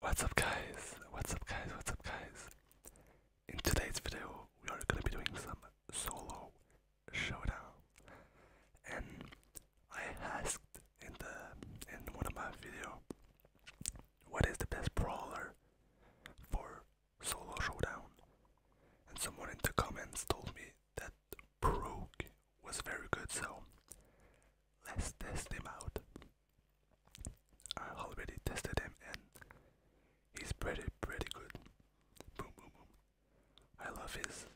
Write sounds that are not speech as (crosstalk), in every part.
What's up guys? What's up guys? What's up guys? In today's video, we are going to be doing some solo showdown. And I asked in the in one of my video what is the best brawler for solo showdown. And someone in the comments told me that Brook was very good, so let's test him out. I already tested him and he's pretty pretty good. Boom boom boom. I love his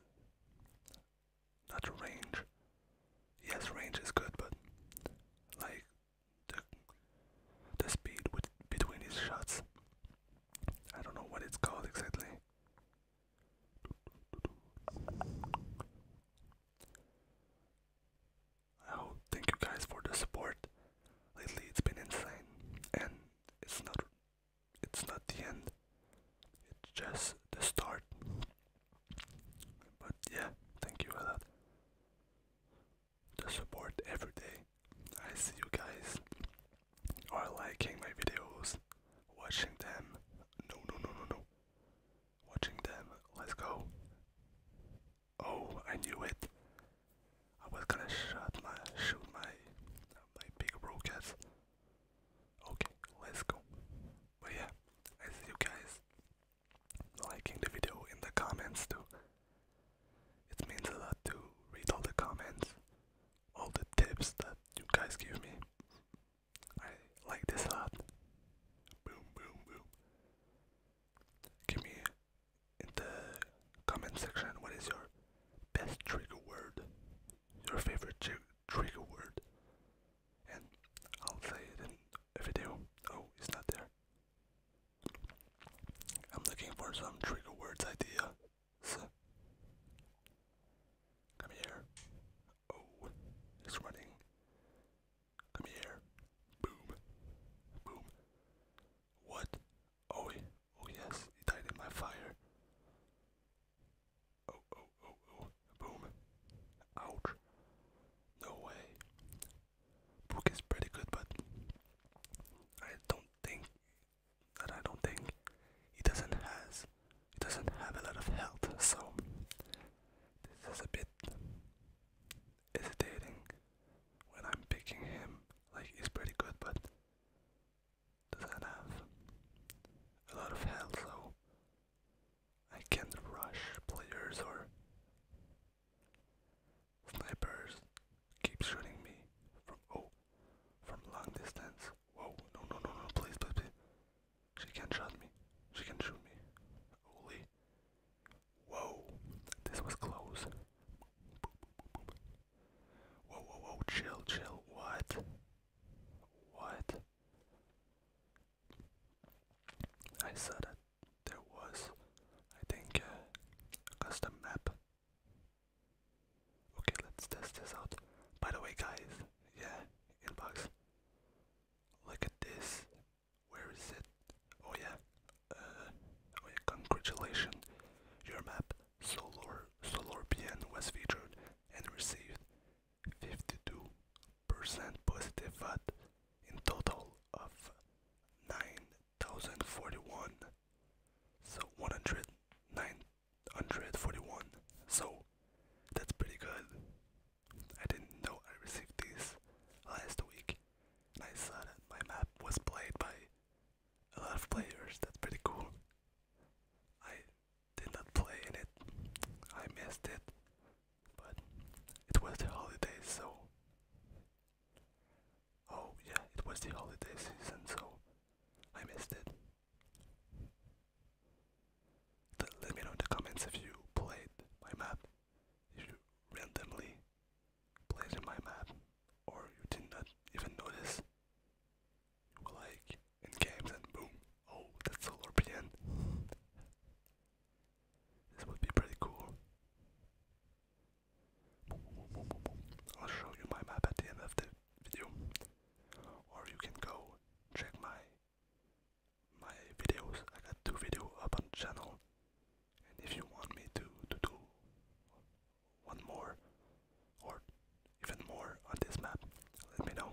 not range. Yes, range is good, but like the the speed between his shots. I don't know what it's called exactly. Oh, thank you guys for the support. Lately, it's been insane, and it's not. It's not the end. It's just the start. But yeah, thank you for that. The support every day. I see you guys are liking my videos, watching them. No, no, no, no, no watching them. Let's go. Oh, I knew it. I was gonna shot my shoot my my big rockets. Okay, let's go. But yeah, I see you guys liking the video in the comments too. It means a lot to read all the comments, all the tips that you guys give me. I like this a lot. Boom, boom, boom. Give me in the comment section what is your best trigger word, your favorite trigger word, and I'll say it in a video. Oh, it's not there. I'm looking for some trigger words idea. come here. Oh, it's running. Come here. Boom. Boom. What? Oh, oh yes, he died in my fire. Oh, oh, oh, oh. Boom. Ouch. No way. Book is pretty good, but I don't think that I don't think he doesn't has it doesn't have a lot of health, so this is a bit hesitating when I'm picking him. Like he's pretty good, but doesn't have a lot of health, so I can't rush players or snipers. Keep shooting me from oh from long distance. Whoa! No, no, no, no! Please, please, she can shoot me. She can shoot me. Holy. Whoa. This was close. Whoa, whoa, whoa. Chill, chill. What? What? I saw that there was, I think, uh, a custom map. Okay, let's test this out. By the way, guys, yeah, inbox. Look at this. Where is it? Oh yeah. Uh, oh yeah. Congratulations. Your map Solar Solorpian was featured and received 52% positive vote in total of 9,041. So 109 141. So that's pretty good. I didn't know I received this last week. I saw that my map was played by a lot of players. That's pretty cool. I did not play in it. I missed it. But it was the holidays, so. Oh, yeah, it was the holiday season, so I missed it. Let me know in the comments if you played my map, if you randomly played my map, or you did not even notice. You were like in games and boom, oh, that's solar PN. This would be pretty cool. I'll show you my map at the end of the video or you can go check my my videos. I got two videos up on channel, and if you want me to do one more or even more on this map, let me know.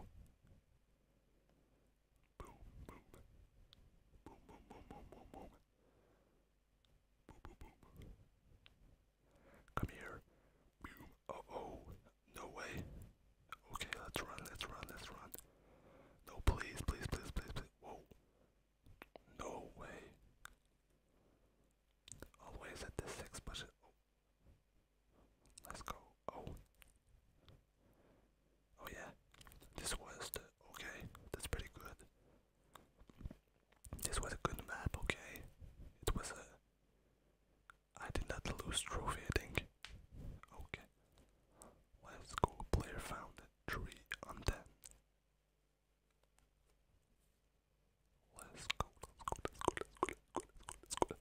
Come here. Boom. Oh, No way. Okay, let's run, let's run, let's run. No, please, please, please, please, please. Whoa. No way. Always at the six button. Oh. Let's go. Oh. Oh yeah. This was the okay. That's pretty good. This was a good map. Okay. It was a I did not lose trophy, I think. Okay. Let's go. Player found 3 on 10. let's go, let's go. Let's go, let's go, let's go, let's go. Let's go, let's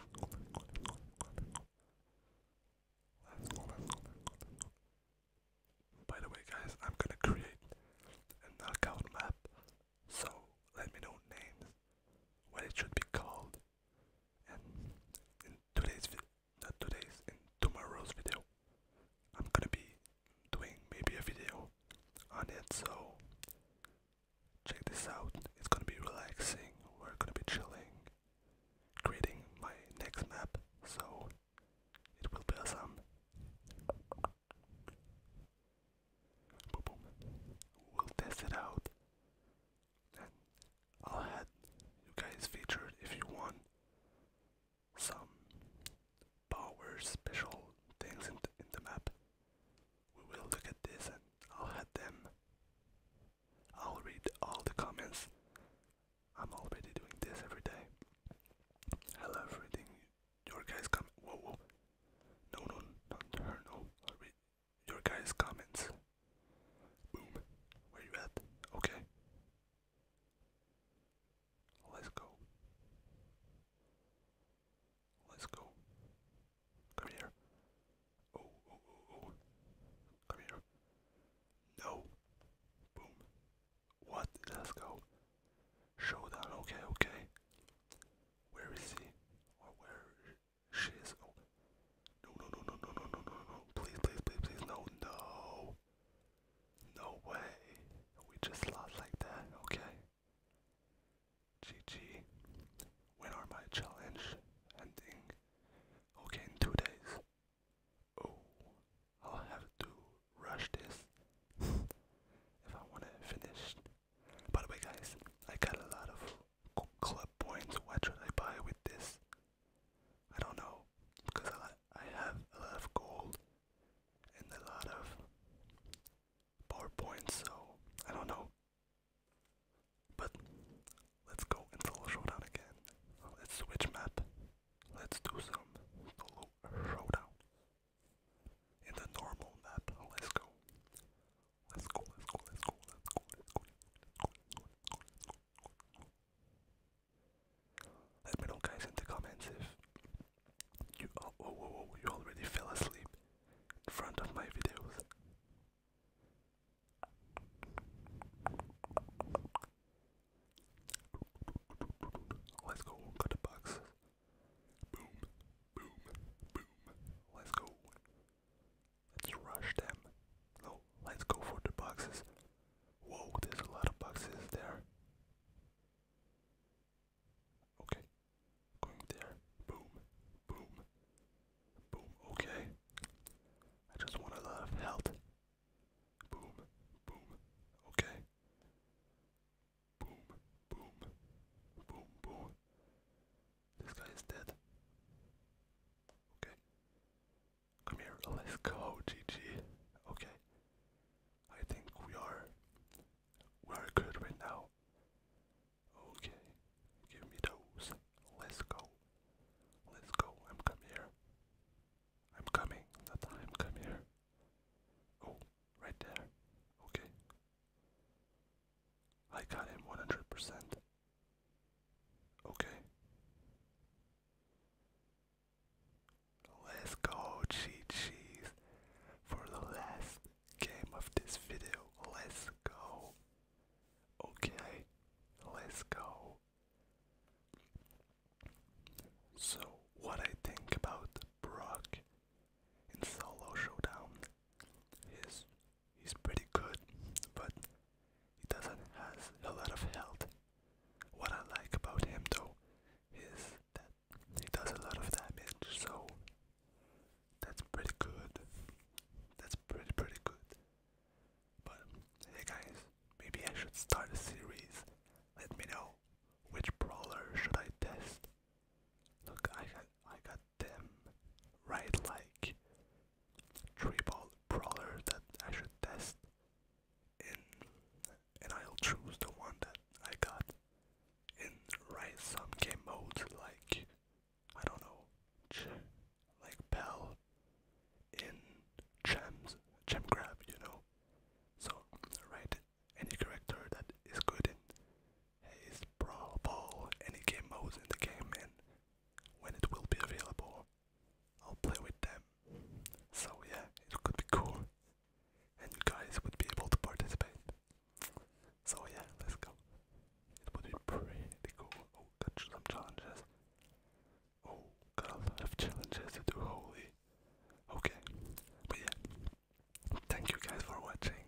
go, let's go, let's go. By the way, guys, I'm gonna create a knockout map, so let me know names, what it should be called, and in today's not today's, in tomorrow's video, I'm gonna be doing maybe a video on it, so check this out. It's gonna be relaxing, we're gonna be chilling, creating my next map, so it will be a son. We'll test it out. I'll have you guys featured if you want some power special things in the map. We will look at this and I'll have them. I'll read all the comments. I'm already doing this every day. I love reading your guys' comment. Whoa, whoa. No, no, not her. No. Read your guys' comments. Boom. Where you at? Okay. Let's go. Let's go. Come here. Oh, oh, oh, oh. Come here. No. Boom. What? Let's go. Showdown. Okay, okay. Where is he? Or where she is? Oh. No, no, no, no, no, no, no, no, no. Please, please, please, please. No, no. No way. We just lost like that. Okay. GG. When are my challenge ending? Okay, in two days. Oh, I'll have to rush this (laughs) if I want to finish. By the way, guys, I got a lot of club points. What should I buy with this? I don't know because I, I have a lot of gold and a lot of power points, so I don't know. But let's go into Showdown again. Let's switch map. Let's do some solo showdown. In normal map, let's go, let's go, let's go, let's go, let's go, Let me know guys in the comments if you oh, oh, oh, you already fell asleep in front of my videos. Let's go cut the box. Boom, boom, boom. Let's go. Let's rush them. No, let's go for the boxes. Whoa, there's a lot of boxes there. Okay, going there. Boom, boom, boom. Okay, I just want a lot of health. Boom, boom, okay. Boom, boom, boom, boom. This guy is dead. Okay. Come here, let's go, GG. Okay. I think we are we are good right now. Okay. Give me those. Let's go. Let's go. i here. I'm coming. The time come here. Oh, right there. Okay. I got him 100%. Okay. Let's go, cheat cheese, for the last game of this video. Let's go. Okay, let's go. So, what I think about Brock in Solo Showdown is he's pretty good, but he doesn't has a lot of health. What I like about him though is that he does a lot of damage, so that's pretty good. That's pretty pretty good. But hey guys, maybe I should start a series. Let me know which brawler should I test. Look, I got I got them right like three ball brawlers that I should test in and I'll choose the one that I got in right some game mode like I don't know like Pal in Cham's Cham Grab, you know. So write any character that is good in Haze Brawl Ball, any game modes in the game and when it will be available I'll play with them. So yeah, it could be cool. And you guys would be able to participate. So yeah, let's go. It would be pretty cool. Oh, got some challenges. Oh, got a challenges to do, holy. Okay, but yeah, thank you guys for watching.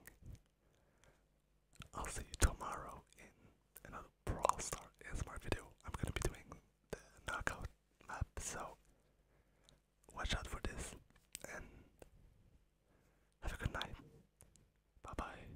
I'll see you tomorrow in another Brawl Star ASMR video. I'm gonna be doing the knockout map, so watch out for this and have a good night. Bye bye.